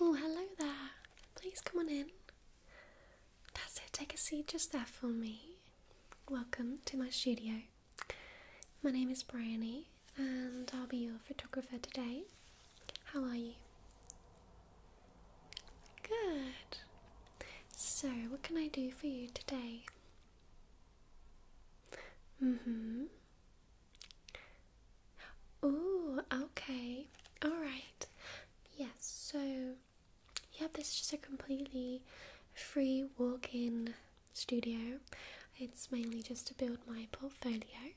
Oh, hello there. Please come on in. That's it, take a seat just there for me. Welcome to my studio. My name is Bryony and I'll be your photographer today. How are you? Good. So, what can I do for you today? Mm hmm. Oh, okay. Alright. Yes, so yeah, this is just a completely free walk in studio. It's mainly just to build my portfolio.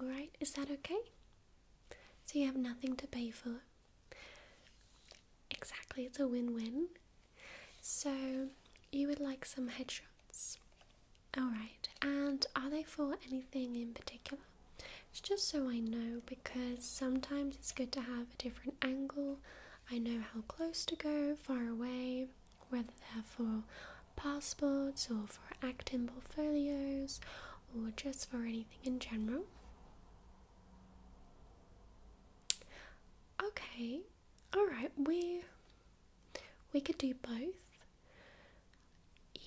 Alright, is that okay? So you have nothing to pay for. Exactly, it's a win win. So you would like some headshots. Alright, and are they for anything in particular? It's just so I know because sometimes it's good to have a different angle. I know how close to go, far away, whether they're for passports or for acting portfolios or just for anything in general. Okay, all right we we could do both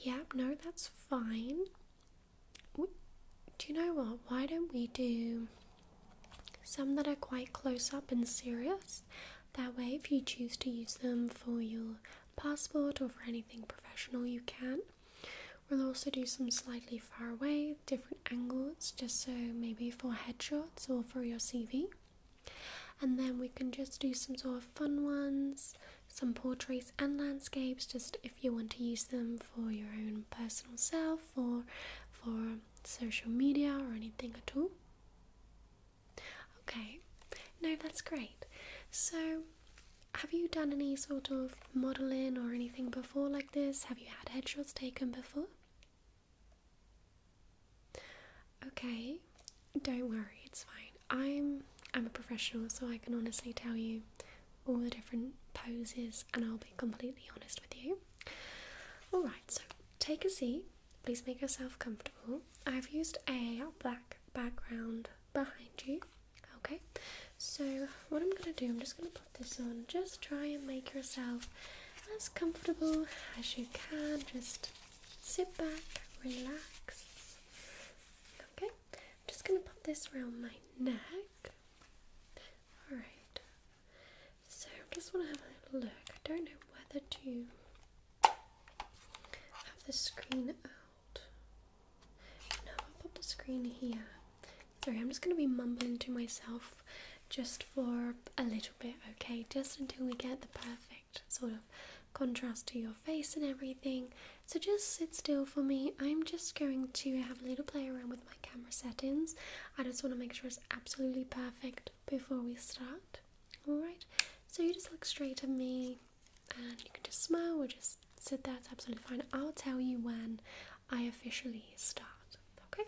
yeah no that's fine do you know what why don't we do some that are quite close up and serious that way if you choose to use them for your passport or for anything professional you can We'll also do some slightly far away, different angles, just so maybe for headshots or for your CV and then we can just do some sort of fun ones, some portraits and landscapes, just if you want to use them for your own personal self or for social media or anything at all. Okay, no, that's great. So, have you done any sort of modeling or anything before like this? Have you had headshots taken before? Okay, don't worry, it's fine. I'm I'm a professional, so I can honestly tell you all the different poses and I'll be completely honest with you. Alright, so take a seat. Please make yourself comfortable. I've used a black background behind you. Okay, so what I'm gonna do, I'm just gonna this on. Just try and make yourself as comfortable as you can. Just sit back, relax. Okay, I'm just going to pop this around my neck. Alright, so I just want to have a little look. I don't know whether to have the screen out. No, I'll put the screen here Sorry, I'm just going to be mumbling to myself just for a little bit, okay? Just until we get the perfect sort of contrast to your face and everything. So just sit still for me. I'm just going to have a little play around with my camera settings. I just want to make sure it's absolutely perfect before we start. Alright? So you just look straight at me and you can just smile or just sit there. It's absolutely fine. I'll tell you when I officially start. Okay?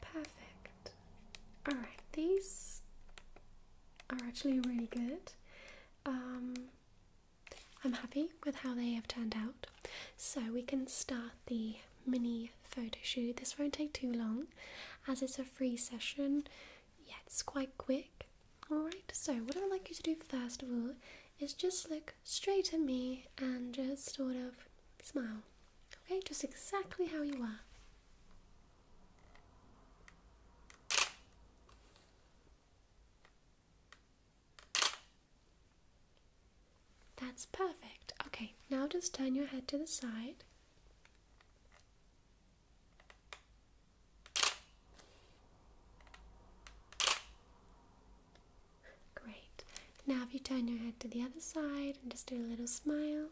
Perfect. Alright, these are actually really good. Um, I'm happy with how they have turned out. So we can start the mini photo shoot. This won't take too long as it's a free session, yet yeah, it's quite quick. Alright, so what I would like you to do first of all is just look straight at me and just sort of smile. Okay, just exactly how you are. That's perfect. Okay, now just turn your head to the side. Great. Now, if you turn your head to the other side and just do a little smile.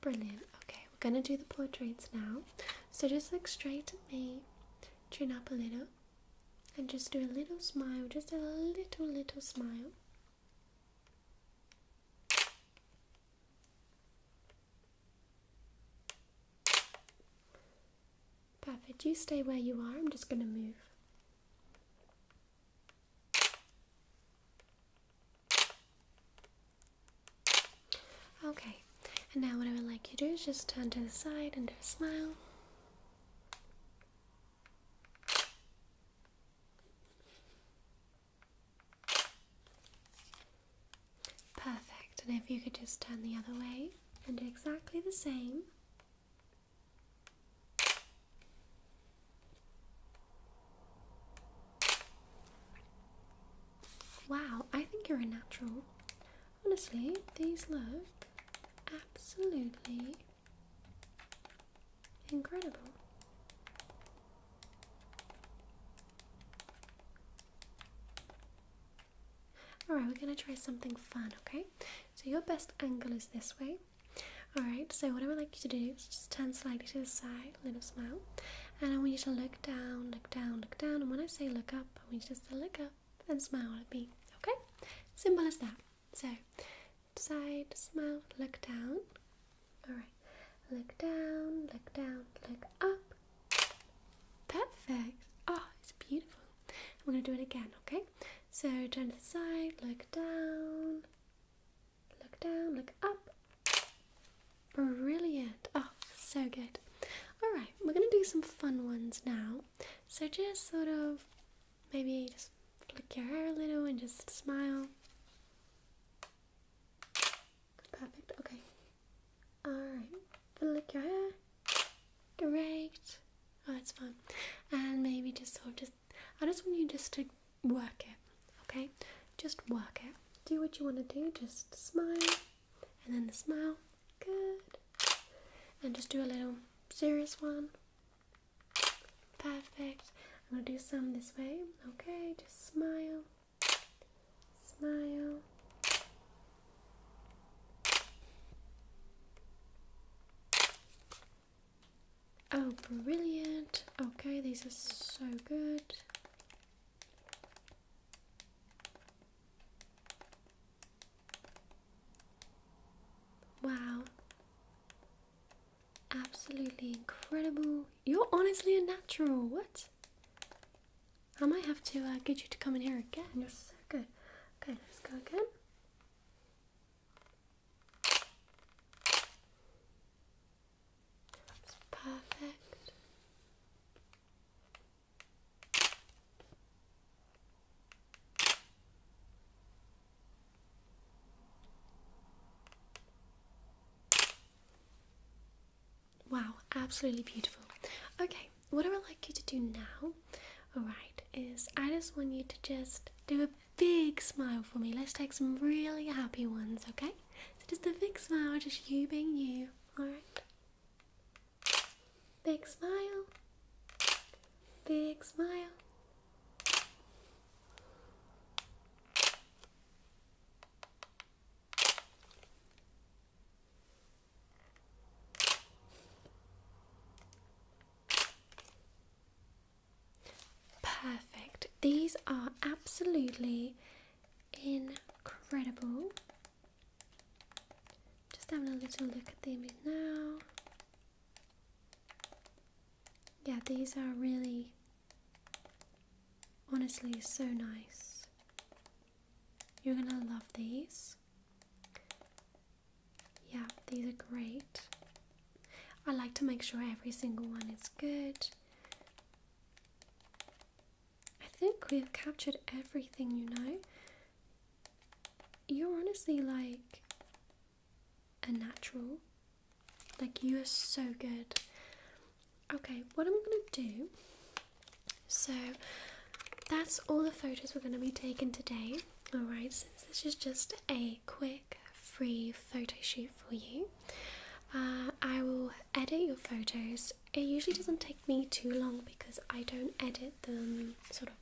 Brilliant. Okay, we're gonna do the portraits now. So just look straight at me, chin up a little, and just do a little smile, just a little, little smile. Perfect, you stay where you are, I'm just going to move. Okay, and now what I would like you to do is just turn to the side and do a smile. Perfect, and if you could just turn the other way and do exactly the same. Wow, I think you're a natural. Honestly, these look absolutely Incredible. Alright, we're going to try something fun, okay? So, your best angle is this way. Alright, so what I would like you to do is just turn slightly to the side, little smile, and I want you to look down, look down, look down. And when I say look up, I want you just to look up and smile at me, okay? Simple as that. So, side, smile, look down. Alright, look down, look down, look up. Perfect. Oh, it's beautiful. We're going to do it again, okay? So, turn to the side, look down, look down, look up. Brilliant. Oh, so good. Alright, we're going to do some fun ones now. So, just sort of Maybe just flick your hair a little and just smile. Perfect, okay. Alright, flick your hair. Great. Oh, that's fun. And maybe just sort of just, I just want you just to work it, okay? Just work it. Do what you want to do, just smile, and then the smile. Good. And just do a little serious one. Perfect. I'm gonna do some this way. Okay, just smile. Smile. Oh, brilliant. Okay, these are so good. Wow. Absolutely incredible. You're honestly a natural. What? I might have to uh, get you to come in here again. You're so good. Okay, let's go again. That's perfect. Wow, absolutely beautiful. Okay, what I would like you to do now, alright, is I just want you to just do a big smile for me. Let's take some really happy ones, okay? So just a big smile, just you being you, alright? Big smile. Big smile. Perfect. These are absolutely incredible. Just having a little look at the image now. Yeah, these are really honestly so nice. You're gonna love these. Yeah, these are great. I like to make sure every single one is good. I think we've captured everything, you know you're honestly like a natural. Like, you are so good. Okay, what I'm gonna do so that's all the photos we're gonna be taking today. Alright, since this is just a quick free photo shoot for you, uh, I will edit your photos. It usually doesn't take me too long because I don't edit them sort of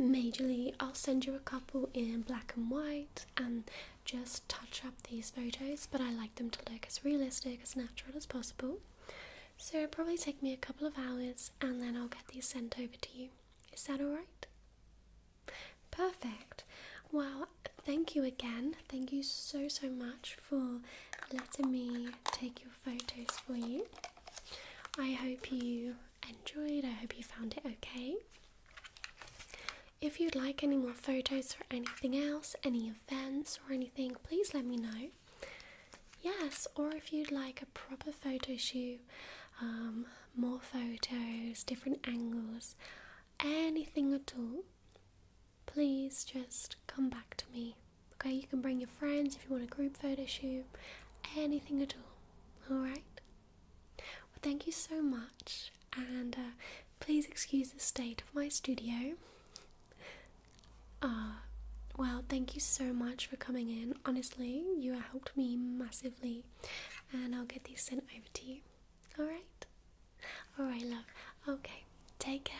majorly I'll send you a couple in black and white and just touch up these photos but I like them to look as realistic as natural as possible so it probably take me a couple of hours and then I'll get these sent over to you is that alright? perfect well thank you again thank you so so much for letting me take your photos for you I hope you enjoyed. I hope you found it okay. If you'd like any more photos or anything else, any events or anything, please let me know. Yes, or if you'd like a proper photo shoot, um, more photos, different angles, anything at all, please just come back to me. Okay, you can bring your friends if you want a group photo shoot, anything at all. Alright? Well, thank you so much, and uh, please excuse the state of my studio. Uh, well, thank you so much for coming in. Honestly, you helped me massively, and I'll get these sent over to you. Alright? Alright, love. Okay, take care.